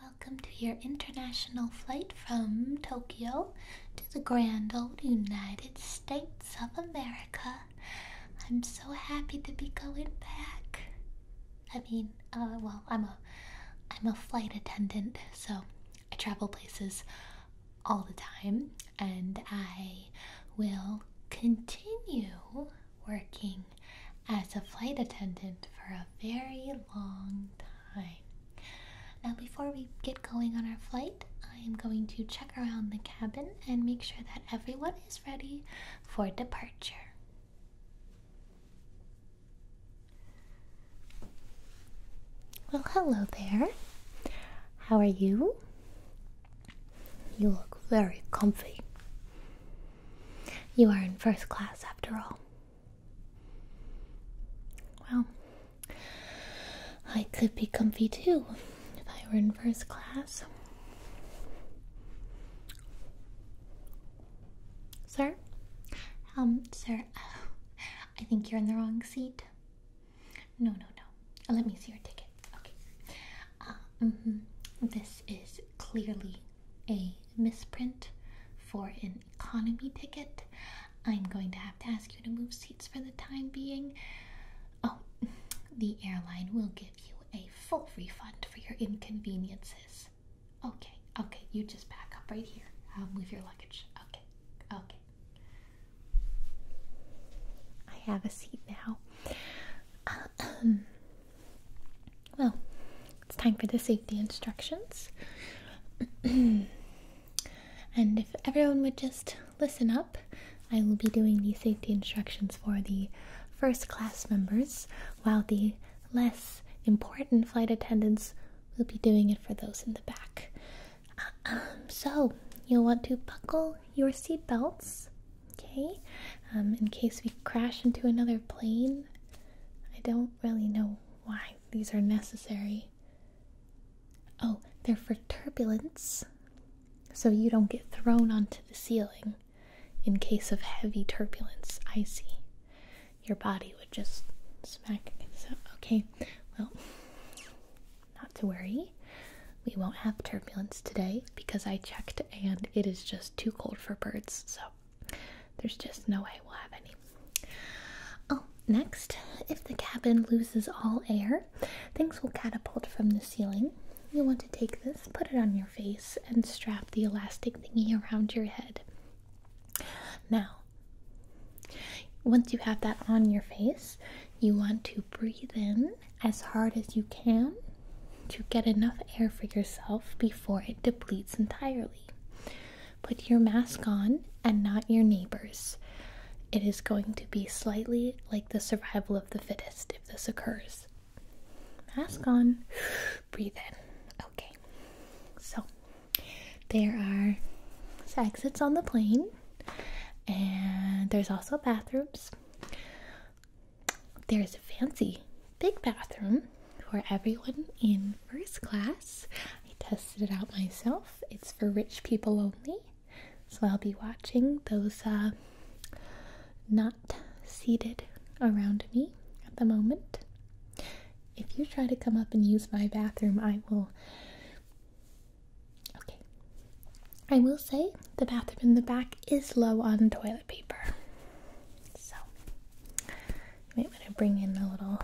Welcome to your international flight from Tokyo to the grand old United States of America. I'm so happy to be going back. I mean, uh, well, I'm a I'm a flight attendant, so I travel places all the time, and I will continue working as a flight attendant for a very long time. Now, before we get going on our flight, I am going to check around the cabin and make sure that everyone is ready for departure. Well, hello there. How are you? You look very comfy. You are in first class after all. Well, I could be comfy too if I were in first class. Sir? Um, sir, I think you're in the wrong seat. No, no, no. Let me see your ticket. Okay. Uh, mm This is clearly a misprint for an economy ticket. I'm going to have to ask you to move seats for the time being. Oh, the airline will give you a full refund for your inconveniences. Okay, okay, you just back up right here. I'll move your luggage. Okay, okay. I have a seat now. Well, it's time for the safety instructions. and if everyone would just listen up, I will be doing the safety instructions for the first class members, while the less important flight attendants will be doing it for those in the back. Um, so, you'll want to buckle your seatbelts, okay? Um, in case we crash into another plane. I don't really know why these are necessary. Oh, they're for turbulence, so you don't get thrown onto the ceiling in case of heavy turbulence. I see. Your body would just smack against it. Okay, well, not to worry. We won't have turbulence today because I checked and it is just too cold for birds, so there's just no way we'll have any. Oh, next, if the cabin loses all air, things will catapult from the ceiling. you want to take this, put it on your face, and strap the elastic thingy around your head. Now, once you have that on your face, you want to breathe in as hard as you can to get enough air for yourself before it depletes entirely. Put your mask on and not your neighbor's. It is going to be slightly like the survival of the fittest if this occurs. Mask on, breathe in. Okay, so there are exits on the plane, and there's also bathrooms. There's a fancy big bathroom for everyone in first class. I tested it out myself. It's for rich people only. So I'll be watching those uh, not seated around me at the moment. If you try to come up and use my bathroom, I will. Okay. I will say the bathroom in the back is low on toilet toilet paper. So, you might want to bring in a little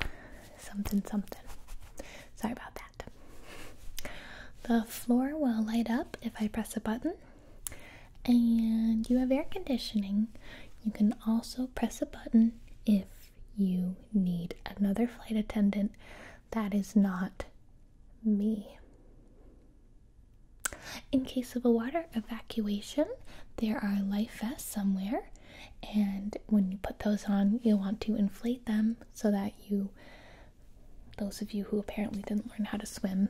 something something. Sorry about that. The floor will light up if I press a button, and you have air conditioning. You can also press a button if you need another flight attendant that is not me. In case of a water evacuation, there are life vests somewhere, and when you put those on, you'll want to inflate them so that you, those of you who apparently didn't learn how to swim,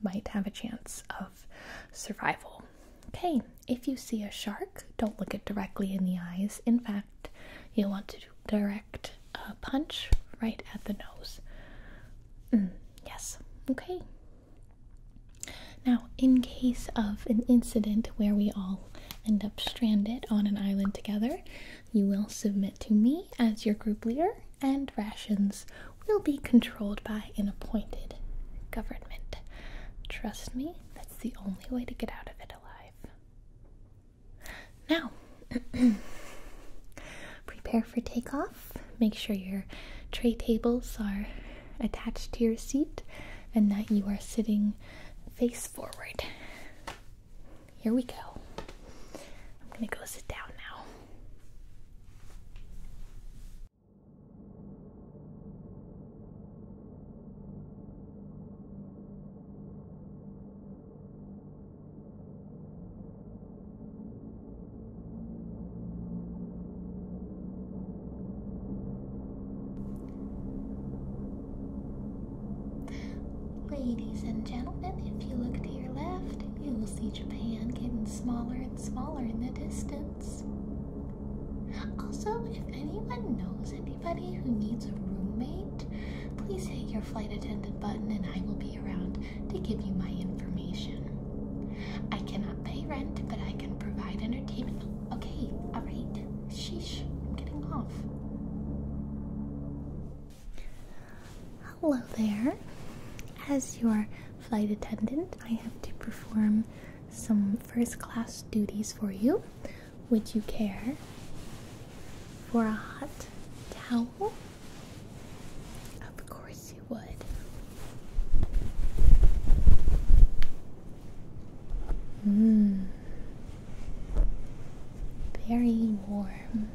might have a chance of survival. Okay, if you see a shark, don't look it directly in the eyes. In fact, you'll want to direct a punch right at the nose. Mm, yes, okay. Now, in case of an incident where we all end up stranded on an island together, you will submit to me as your group leader, and rations will be controlled by an appointed government. Trust me, that's the only way to get out of it alive. Now, prepare for takeoff Make sure your tray tables are attached to your seat and that you are sitting face forward. Here we go. I'm going to go sit down now. Ladies and gentlemen, if you look to your left, you will see Japan getting smaller and smaller in the distance. Also, if anyone knows anybody who needs a roommate, please hit your flight attendant button and I will be around to give you my information. I cannot pay rent, but I can provide entertainment. Okay, alright. Sheesh, I'm getting off. Hello there. As your flight attendant, I have to perform some first class duties for you. Would you care for a hot towel? Of course would. Mm. Very warm.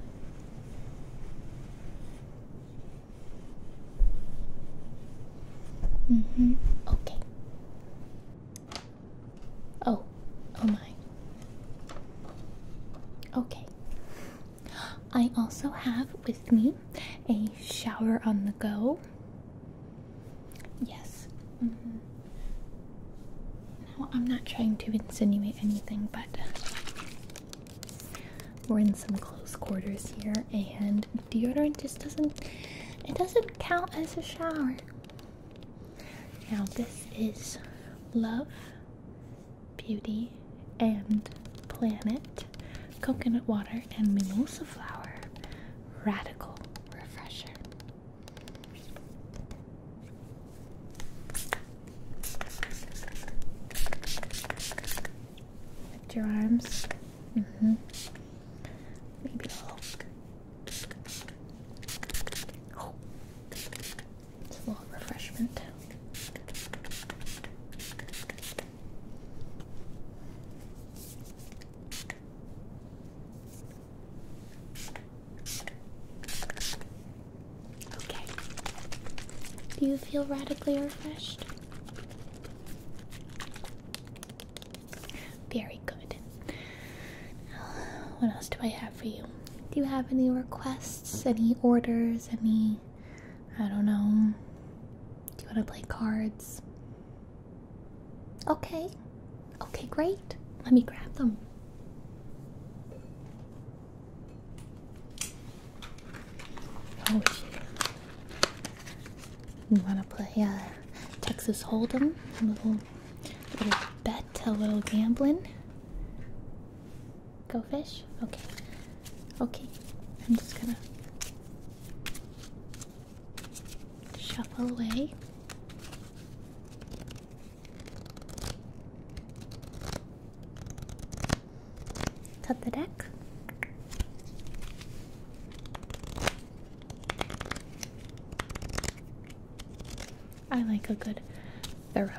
Mm hmm. Okay. Oh, oh my. Okay. I also have with me a shower on the go. Yes. Mm I'm not trying to insinuate anything, but we're in some close quarters here, and deodorant just doesn't it doesn't count as a shower. Now this is love, beauty, and planet, coconut water, and mimosa flower. Radical refresher. Lift your arms. Mm -hmm. Maybe a little. Oh. Just refreshment. Okay. Do you feel radically refreshed? Very good. What else do I have for you? Do you have any requests, any orders, any I don't know. Do you want to play cards? Okay. Okay, great. Let me grab them. Oh, you want to play uh, Texas Hold'em? A little, little bet, a little gambling. Go fish. Okay. Okay. I'm just gonna shuffle away. Cut the deck. I like a good thorough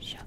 shuffle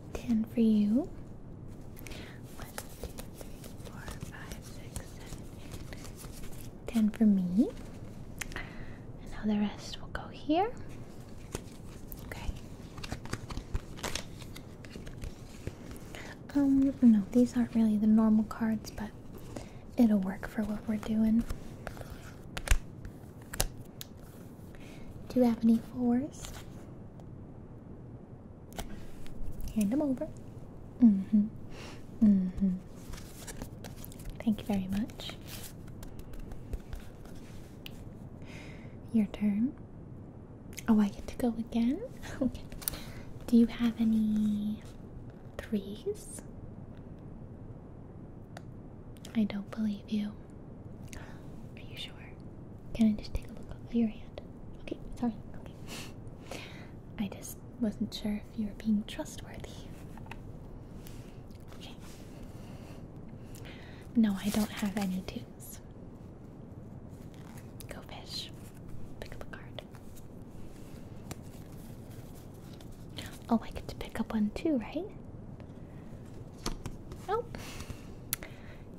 ten for you. Ten for me. And now the rest will go here. Okay. Um, no, these aren't really the normal cards, but it'll work for what we're doing. Do you have any fours? Hand them over. hmm hmm Thank you very much. Your turn. Oh, I get to go again? okay. Do you have any threes? I don't believe you. Are you sure? Can I just take a look at your hand? Okay, sorry. Okay. I just wasn't sure if you were being trustworthy. Okay. No, I don't have any tunes. Go fish. Pick up a card. Oh, I get to pick up one too, right? Nope. Oh.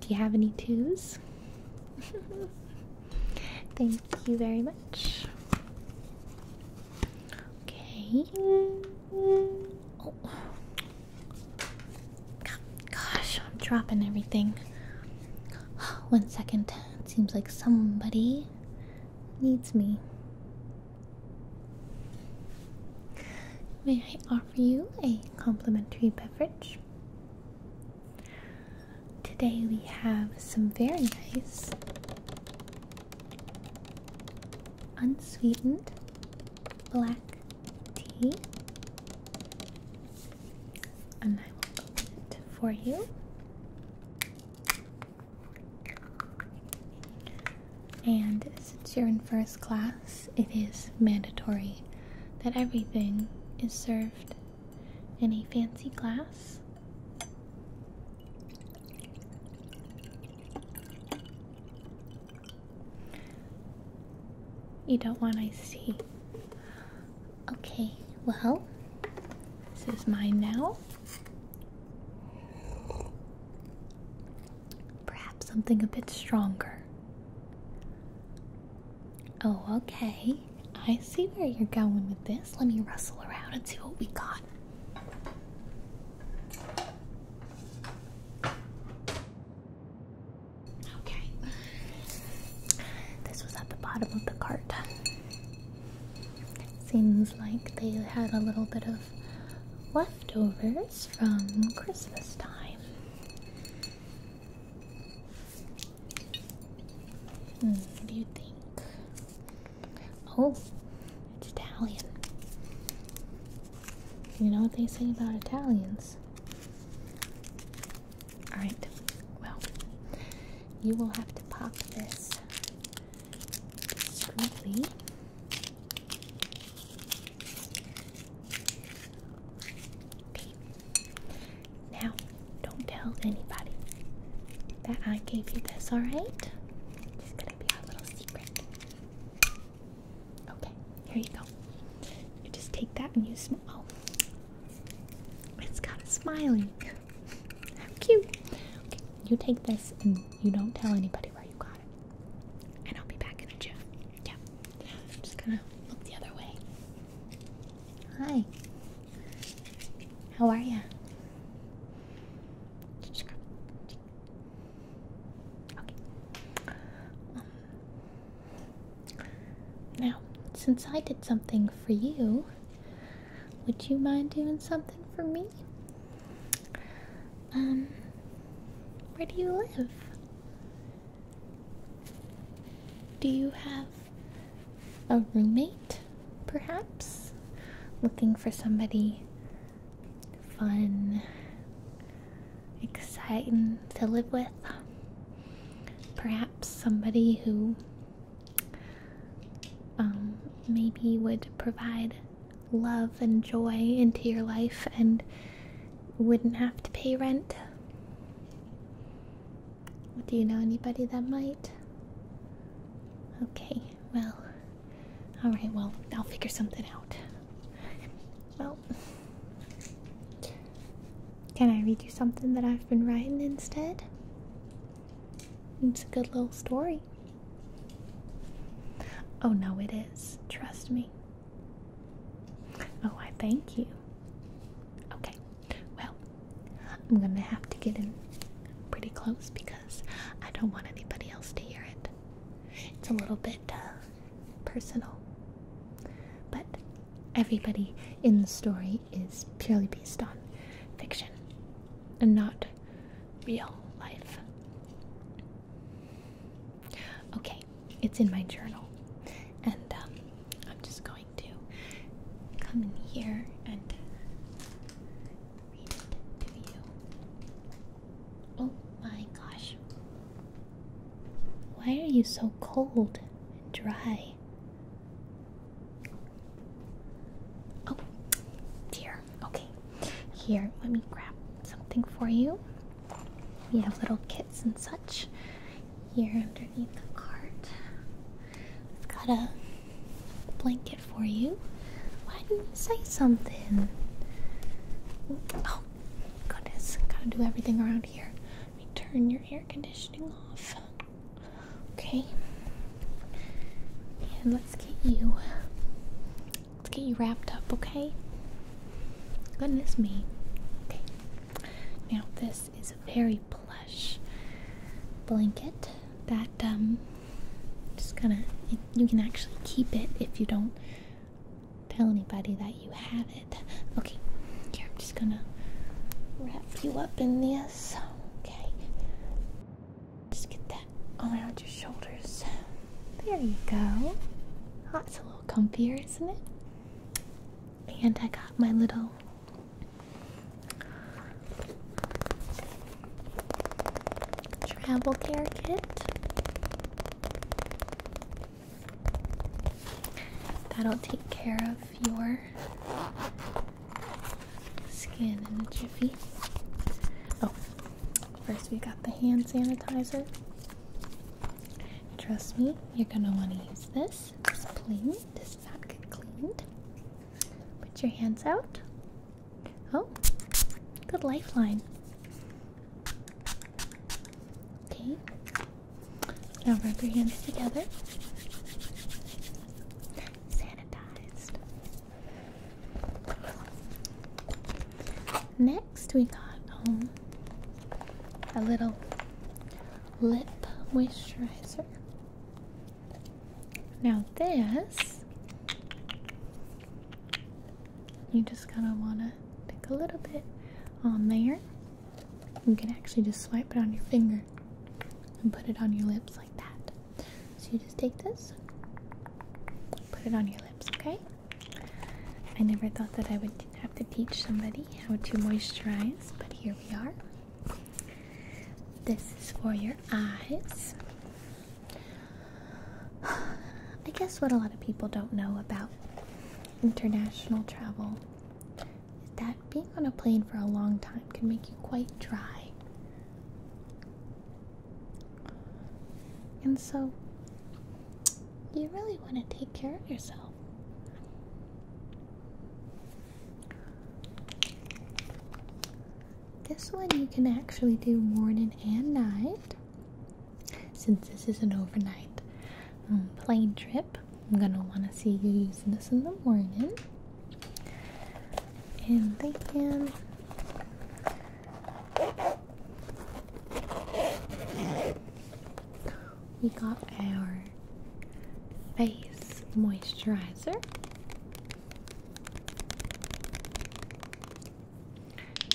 Do you have any twos? Thank you very much. Okay. Oh. Gosh, I'm dropping everything. One second. It seems like somebody needs me. May I offer you a complimentary beverage. Today we have some very nice unsweetened black tea, and I will open it for you. And since you're in first class, it is mandatory that everything is served in a fancy glass. You don't want ice tea. Okay, well, this is mine now. Perhaps something a bit stronger. Oh, okay. I see where you're going with this. Let me rustle around and see what we got. Okay. This was at the bottom of the cart. Seems like they had a little bit of leftover favorites from Christmas time. Hmm, what do you think? Oh, it's Italian. You know what they say about Italians? Alright, well, you will have to pop this discreetly now, don't tell anybody that I gave you this, alright? It's gonna be our little secret. Okay, here you go. You just take that and you smile. It's got a smiley. How cute. Okay, you take this and you don't tell anybody where you got and I'll be back in a jiff. Yeah. am just gonna look the other way. Hi. How are you? Um, now, since I did something for you, would you mind doing something for me? Um, where do you live? Do you have a roommate, perhaps? Looking for somebody fun, exciting to live with? Perhaps somebody who um, maybe would provide love and joy into your life and wouldn't have to pay rent. Do you know anybody that might? Okay, well, alright, well, I'll figure something out. Well, can I read you something that I've been writing instead? It's a good little story. Oh no, it is. Trust me. Oh, I thank you. Okay, well, I'm gonna have to get in pretty close because I don't want anybody else to hear it. It's a little bit uh, personal, but everybody in the story is purely based on fiction and not real life. Okay, it's in my journal. And um, I'm just going to come in here and read it to you. Oh my gosh. Why are you so cold and dry? Oh dear. Okay. Here, let me grab something for you. We have little kits and such here underneath the cart. I've got a blanket for you. Why didn't you say something? Oh, goodness. Gotta do everything around here. Let me turn your air conditioning off. Okay. And let's get you Let's get you wrapped up, okay? Goodness me. Okay. Now this is a very plush blanket that um just gonna you can actually keep it if you don't tell anybody that you have it. Okay, here I'm just gonna wrap you up in this. Okay. Just get that around your shoulders. There you go. That's a little comfier, isn't it? And I got my little travel care kit. That'll take care of your skin in a jiffy. Oh, First, we got the hand sanitizer. Trust me, you're gonna want to use this. It's clean, does not get cleaned. Put your hands out. Oh, good lifeline. Okay, now rub your hands together. Sanitized. Next, next we got um, a little lip moisturizer. Now this you just kind of want to take a little bit on there. You can actually just swipe it on your finger and put it on your lips like that. So you just take this, put it on your lips, okay? I never thought that I would have to teach somebody how to moisturize, but here we are. This is for your eyes. I guess what a lot of people don't know about international travel is that being on a plane for a long time can make you quite dry. And so, you really want to take care of yourself. This one you can actually do morning and night. Since this is an overnight um, plane trip, I'm going to want to see you using this in the morning. And they can we got our face moisturizer.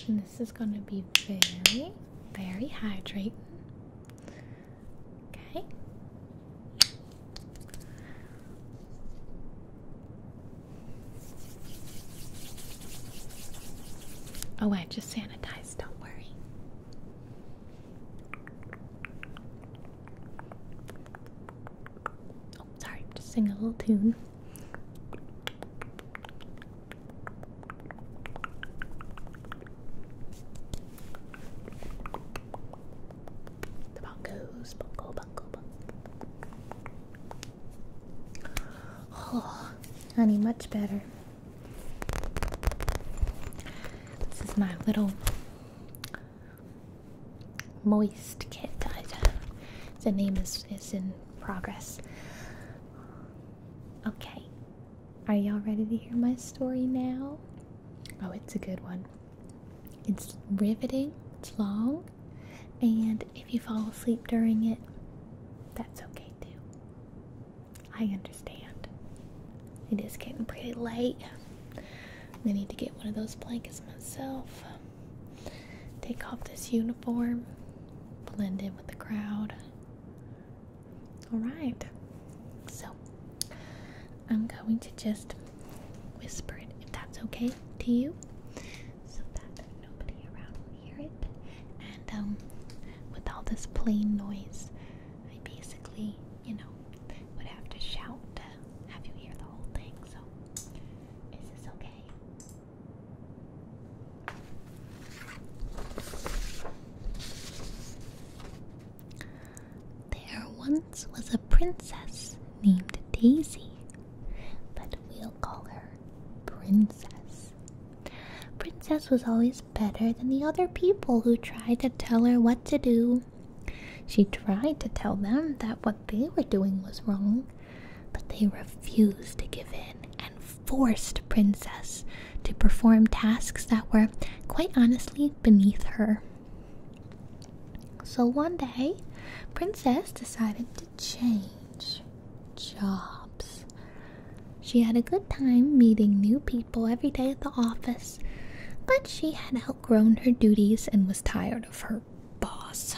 And this is going to be very, very hydrating. Okay. Oh, I just sanitized, don't worry. Oh, sorry, just sing a little tune. The bongos, bongo, bongo, bongo. Oh, Honey, much better. This is my little moist kit. The name is, is in progress. Okay. Are y'all ready to hear my story now? Oh, it's a good one. It's riveting, it's long, and if you fall asleep during it, that's okay too. I understand. It is getting pretty late. I need to get one of those blankets myself. Take off this uniform, blend in with the crowd. Alright, so I'm going to just whisper it if that's okay to you so that nobody around will hear it. And um, with all this plane noise, I basically, you know, would have to shout to have you hear the whole thing. So, is this okay? There once was a princess named Daisy but we'll call her Princess. Princess was always better than the other people who tried to tell her what to do. She tried to tell them that what they were doing was wrong, but they refused to give in and forced Princess to perform tasks that were, quite honestly, beneath her. So one day, Princess decided to change jobs. She had a good time meeting new people every day at the office, but she had outgrown her duties and was tired of her boss.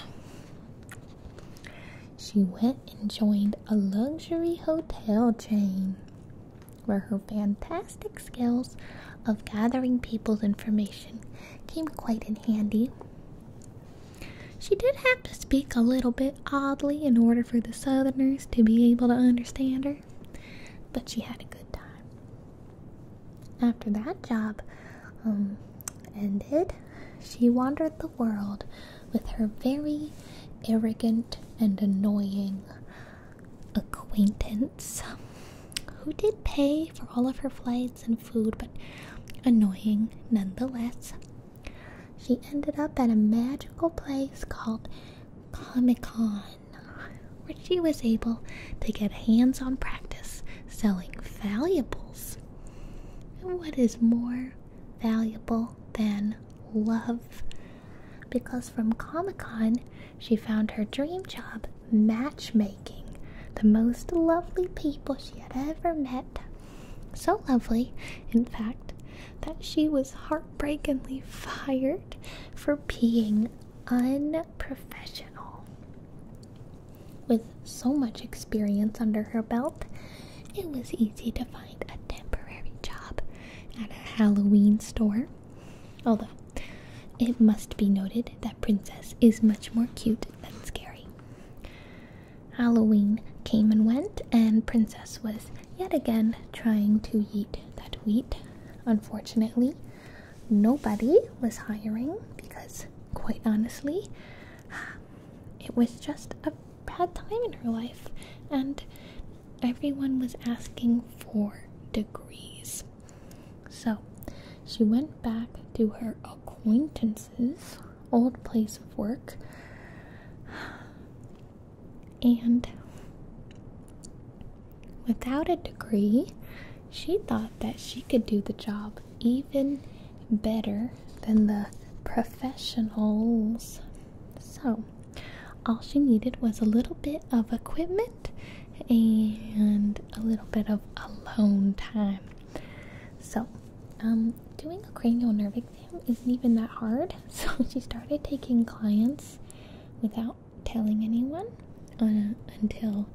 She went and joined a luxury hotel chain where her fantastic skills of gathering people's information came quite in handy. She did have to speak a little bit oddly in order for the Southerners to be able to understand her, but she had a good time. After that job um, ended, she wandered the world with her very arrogant and annoying acquaintance who did pay for all of her flights and food, but annoying nonetheless. She ended up at a magical place called Comic Con, where she was able to get hands on practice selling valuables. And what is more valuable than love? Because from Comic Con, she found her dream job matchmaking the most lovely people she had ever met so lovely, in fact, that she was heartbreakingly fired for being unprofessional. With so much experience under her belt, it was easy to find a temporary job at a Halloween store. Although, it must be noted that Princess is much more cute than scary. Halloween came and went, and Princess was yet again trying to eat that wheat. Unfortunately, nobody was hiring because, quite honestly, it was just a bad time in her life, and everyone was asking for degrees. So she went back to her acquaintances old place of work. And without a degree, she thought that she could do the job even better than the professionals. So, all she needed was a little bit of equipment and a little bit of alone time. So, um, doing a cranial nerve exam isn't even that hard. So she started taking clients without telling anyone uh, until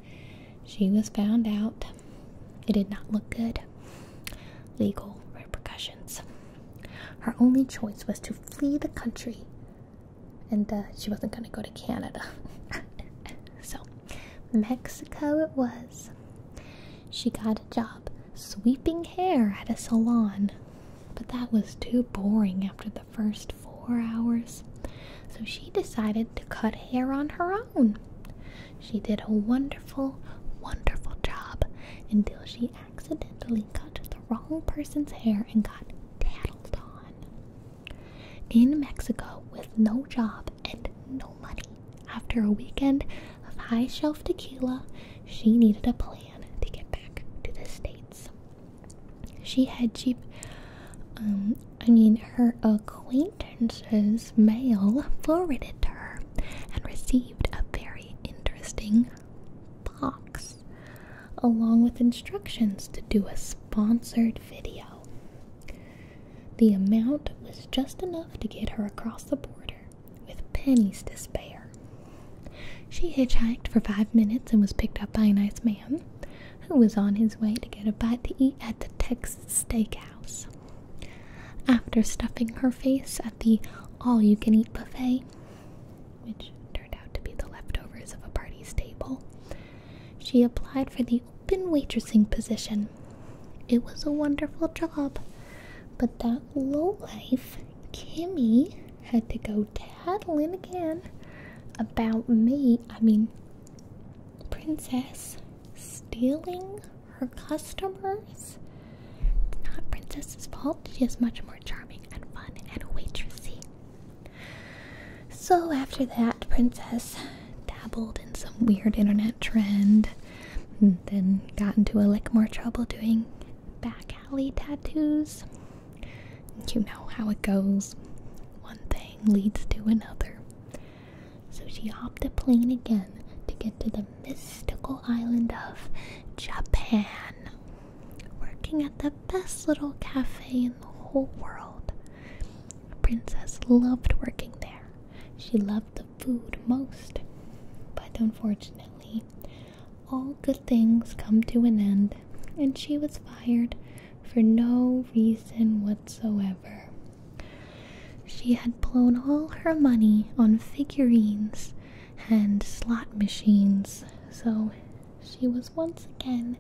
she was found out. It did not look good. Legal repercussions. Her only choice was to flee the country, and uh, she wasn't going to go to Canada. so, Mexico it was she got a job sweeping hair at a salon. But that was too boring after the first four hours, so she decided to cut hair on her own. She did a wonderful, wonderful job until she accidentally cut the wrong person's hair and got tattled on. In Mexico, with no job and no money, after a weekend of high shelf tequila, she needed a plan to get back to the States. She had cheap, um, I mean, her acquaintances' mail forwarded to her and received a very interesting box along with instructions to do a sponsored video. The amount was just enough to get her across the border, with pennies to spare. She hitchhiked for five minutes and was picked up by a nice man who was on his way to get a bite to eat at the Texas Steakhouse. After stuffing her face at the all you can eat buffet, which turned out to be the leftovers of a party's table, she applied for the Open waitressing position. It was a wonderful job, but that low life Kimmy, had to go tattling again about me, I mean, Princess stealing her customers. It's not Princess's fault, she is much more charming and fun and waitressing. So after that, Princess dabbled in some weird internet trend then got into a lick more trouble doing back alley tattoos. You know how it goes. One thing leads to another. So she hopped a plane again to get to the mystical island of Japan. Working at the best little cafe in the whole world. Princess loved working there. She loved the food most. But unfortunately, all good things come to an end, and she was fired for no reason whatsoever. She had blown all her money on figurines and slot machines, so she was once again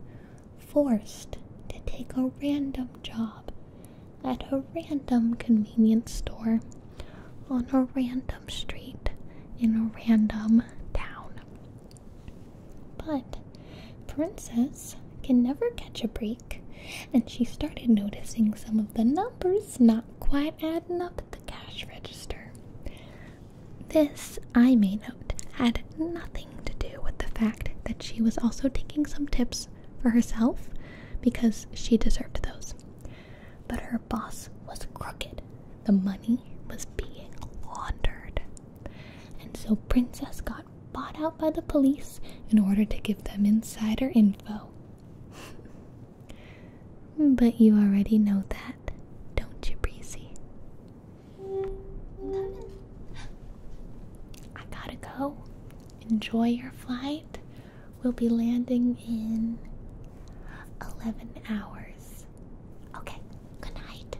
forced to take a random job at a random convenience store on a random street in a random town. But Princess can never catch a break, and she started noticing some of the numbers not quite adding up at the cash register. This, I may note, had nothing to do with the fact that she was also taking some tips for herself because she deserved those. But her boss was crooked. The money was being laundered. And so Princess got bought out by the police in order to give them insider info. but you already know that, don't you, Breezy? I gotta go enjoy your flight. We'll be landing in 11 hours. Okay, good night.